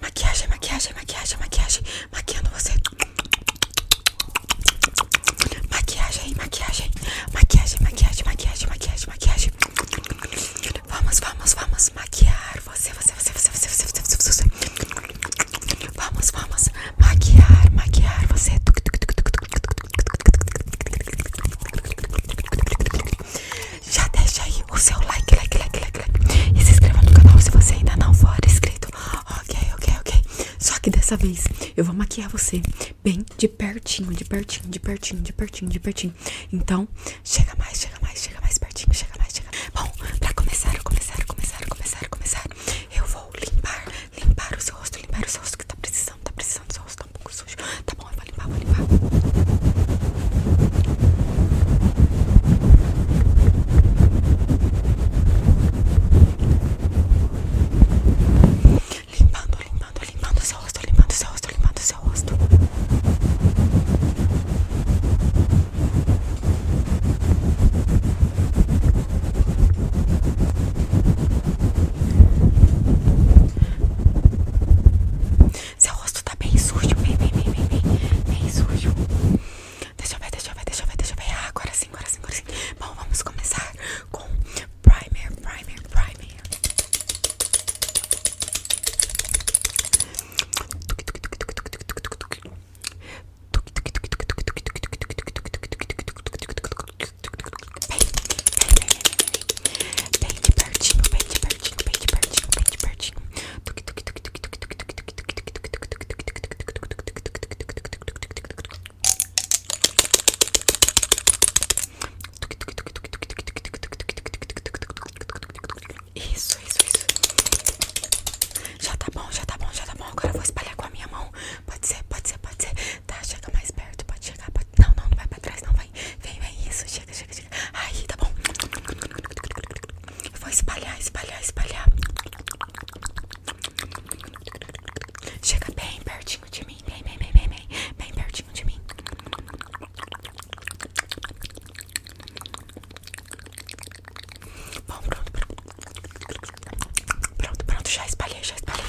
Maquiagem, maquiagem, maquiagem, maquiagem, maquiando você. Maquiagem, maquiagem, maquiagem, maquiagem, maquiagem, maquiagem, maquiagem. Vamos, vamos, vamos maquiar você, você, você, você, você, você, você, você, você. Vamos, vamos maquiar, maquiar você já deixa aí o seu like, like, like, like, like e se inscreva no canal se você ainda não for inscrito. Ok, ok, ok. Só que dessa vez eu vou maquiar você bem de pertinho, de pertinho, de pertinho, de pertinho, de pertinho. Então, chega mais, chega mais, chega mais pertinho, chega mais, chega. Bom, pra começar, começar, começar, começar, começar, eu vou limpar, limpar o seu rosto, limpar o seu rosto que tá precisando, tá precisando, seu rosto tão tá um Tá bom, vai limpar, vai limpar. Limpando, limpando, limpando seu rosto, limpando seu rosto, limpando seu rosto. Seu rosto tá bem sujo. Vem, vem, vem, vem, Bem sujo. Deixa eu ver, deixa eu ver, deixa eu ver, deixa ver. Ah, agora sim, agora sim, agora sim. Bom, vamos começar com primer, primer, primer. Bem de pertinho, bem de pertinho, bem de pertinho, bem de pertinho. Isso, isso, isso. Já tá bom, já tá bom, já tá bom. Agora eu vou espalhar com a minha mão. Pode ser, pode ser, pode ser. Tá, chega mais perto, pode chegar Não, não, não vai pra trás, não, vai Vem, vem, isso, chega, chega, chega Aí, tá bom Eu vou espalhar, espalhar, espalhar Chega bem pertinho de mim vem vem vem vem bem Bem pertinho de mim Bom, pronto, pronto Pronto, pronto, já espalhei, já espalhei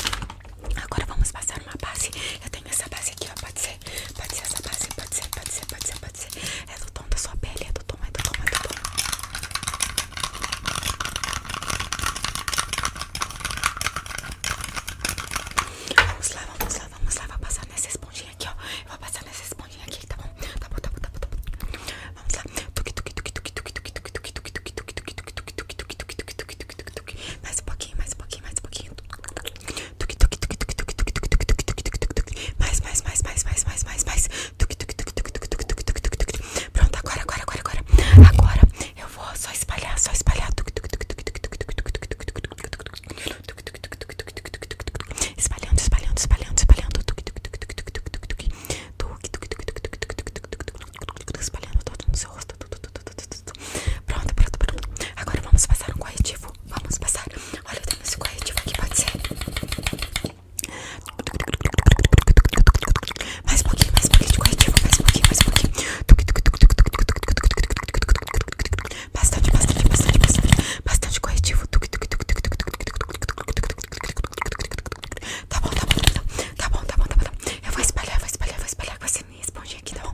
Agora vamos passar uma base. Eu tenho essa base aqui, ó. Pode ser, pode ser essa base, pode ser, pode ser, pode ser, pode ser. É do tom da sua pele, é do tom, é do tom, é do tom. Vamos lá, vamos lá, vamos lá. Vou passar nessa esponjinha aqui, ó. vou passar nessa esponjinha aqui, tá bom? Tá bom, tá bom, tá bom, tá bom. Vamos lá. Mais um pouquinho, mais um pouquinho, mais um pouquinho. Mais, mais, mais, mais, mais, mais, mais, mais. Pronto, agora, agora, agora, agora. Agora eu vou só espalhar, só espalhar. Espalhando, espalhando, espalhando, espalhando. Espalhando todo no seu rosto. Pronto, pronto, pronto. Agora vamos passar um coitivo Vamos passar. Olha, eu tenho esse corretivo aqui, pode ser. Mais um pouquinho, mais um pouquinho de corretivo. Mais um pouquinho, mais um pouquinho. Bastante, bastante, bastante, bastante. Bastante corretivo. Tá bom, tá bom, tá bom, tá bom, tá bom, tá bom. Eu vou espalhar, vou espalhar, vou espalhar com esse minha aqui, tá bom?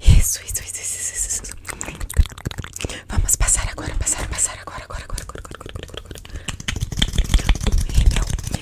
Isso, isso, isso, isso, isso, Vamos passar agora, passar, passar agora, agora, agora, agora, agora, agora, agora. Um rímel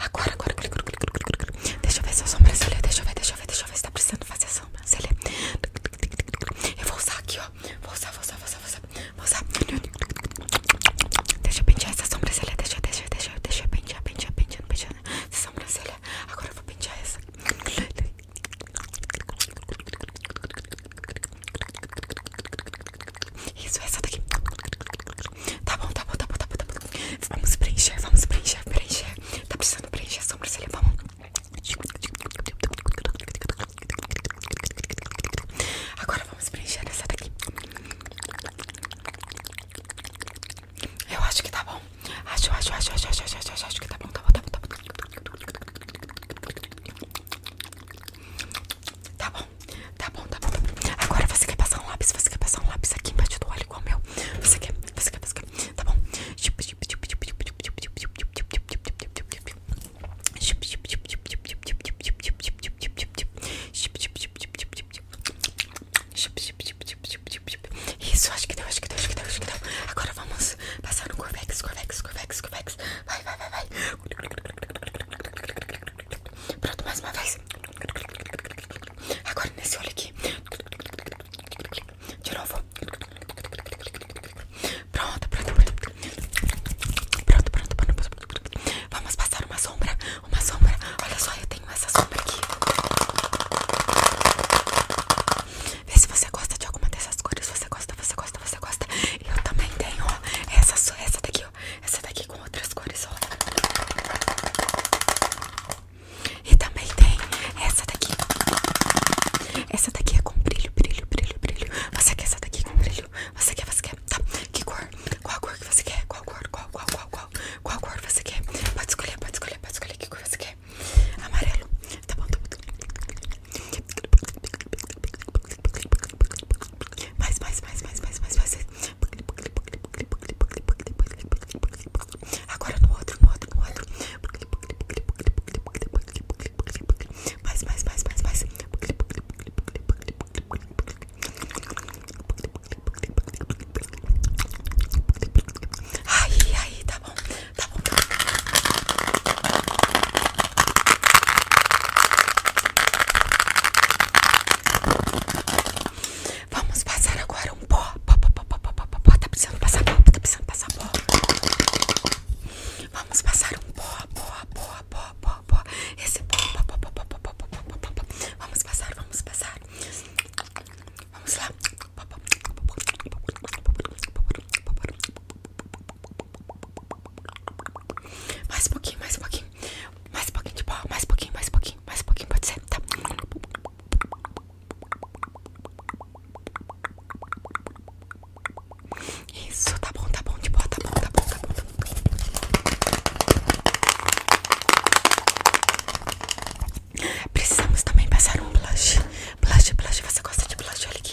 Agora, agora, deixa eu ver sua sobrancelha. Deixa eu ver, deixa eu ver, deixa eu ver se tá precisando fazer a sombra sobrancelha. Eu vou usar aqui, ó. Vou usar, vou usar, vou usar, vou usar. Vou usar. Deixa eu pentear essa sobrancelha. Deixa, deixa, deixa, deixa eu pentear, pentear, pentear, pentear essa sobrancelha. Agora eu vou pentear essa. Isso, essa daqui. Tá, tá bom, tá bom, tá bom, tá bom, Vamos preencher, vamos preencher, preencher. Tá precisando preencher sobrancelha, vamos. Agora vamos preencher essa daqui. Eu acho que tá bom. Acho, acho, acho, acho, acho, acho, acho, acho que tá bom, tá bom, tá bom, tá bom. Tá bom, tá bom, tá bom. Agora você quer passar um lápis? Você quer passar um lápis aqui embaixo do olho igual o meu? Você quer, você quer, você quer? Tá bom. Isso, acho que deu, acho que deu, acho que deu, acho que deu. Agora vamos passar no Corvex, Corvex, Corvex, Corvex. Vai, vai, vai, vai. Pronto, mais uma vez. Agora nesse olho aqui. De novo. Pronto, pronto, pronto. Pronto, Vamos passar uma sombra. Uma sombra. Olha só, eu tenho essa sombra aqui. Vê se você gosta de alguma dessas cores. Você gosta, você gosta, você gosta. Eu também tenho, Essa, essa daqui, ó. Essa daqui com outras cores, ó. E também tem essa daqui. Essa daqui é com brilho, brilho, brilho, brilho. Você quer essa daqui com brilho? Você quer, você quer? Tá. Que cor? Qual cor que você quer? Qual cor? Qual, qual, qual, qual? Qual cor você quer? Pode escolher, pode escolher, pode escolher que cor você quer. Amarelo. Tá bom, tá bom. Tá mais, mais, mais, mais, mais, mais, mais. Agora no outro, no outro, no outro. Mais, mais, mais, mais, mais. Aí, aí, tá bom, tá bom. Vamos passar agora um pó. Pó, pó, pó, pó, pó, pó, Tá precisando passar pó, tá precisando passar pó. Vamos passar um pó, pó, pó, pó, pó, pó. Esse pó, pó, pó, pó, pó, pó, pó, pó, pó, pó, pó. Vamos passar, vamos passar. Vamos lá. Mais um pouquinho, mais um pouquinho. Mais um pouquinho de boa mais um pouquinho, mais um pouquinho, mais um pouquinho, pode ser, tá? Isso, tá bom, tá bom, de boa, tá bom, tá bom, tá bom, tá bom. Precisamos também passar um blush. Blush, blush, você gosta de blush? Olha aqui.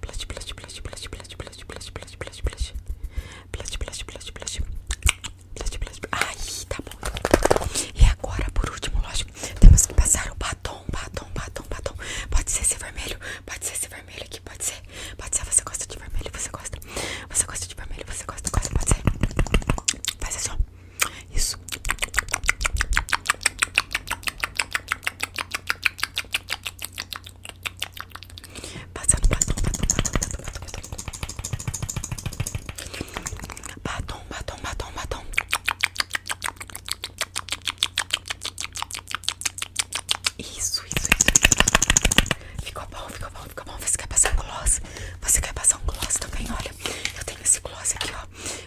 Blush, blush, blush, blush, blush, blush, blush, blush, blush, blush. Blush, blush, blush, blush. Blush, blush. Ai, tá bom. E agora, por último, lógico, temos que passar o batom, batom, batom, batom. Pode ser esse vermelho, pode ser esse vermelho aqui, pode ser. Pode ser, você gosta de vermelho, você gosta. Você gosta de vermelho, você gosta, gosta, pode ser. Faz assim, ó. Isso. Passando batom, batom, batom, batom, batom, batom, batom, batom, Isso, isso, isso. Ficou bom, ficou bom, ficou bom. Você quer passar um gloss? Você quer passar um gloss também? Olha, eu tenho esse gloss aqui, ó.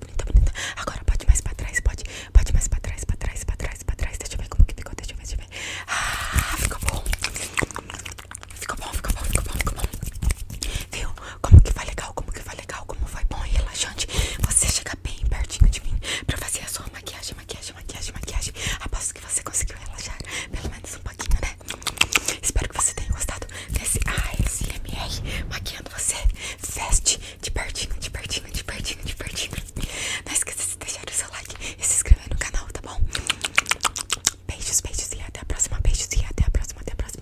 bonita, bonita. Agora pode mais pra trás, pode. Pode mais pra trás, pra trás, pra trás, pra trás. Deixa eu ver como que ficou, deixa eu ver, deixa eu ver. Ah, ficou bom. Ficou bom, ficou bom, ficou bom, ficou bom. Viu? Como que vai legal, como que vai legal, como vai bom e relaxante. Você chega bem pertinho de mim pra fazer a sua maquiagem, maquiagem, maquiagem, maquiagem. Aposto que você conseguiu relaxar pelo menos um pouquinho, né? Espero que você tenha gostado desse ASMR maquiando você. Veste de pertinho, de pertinho, de pertinho, de pertinho. Não esqueça de deixar o seu like e se inscrever no canal, tá bom? Beijos, beijos e até a próxima. Beijos e até a próxima, até a próxima.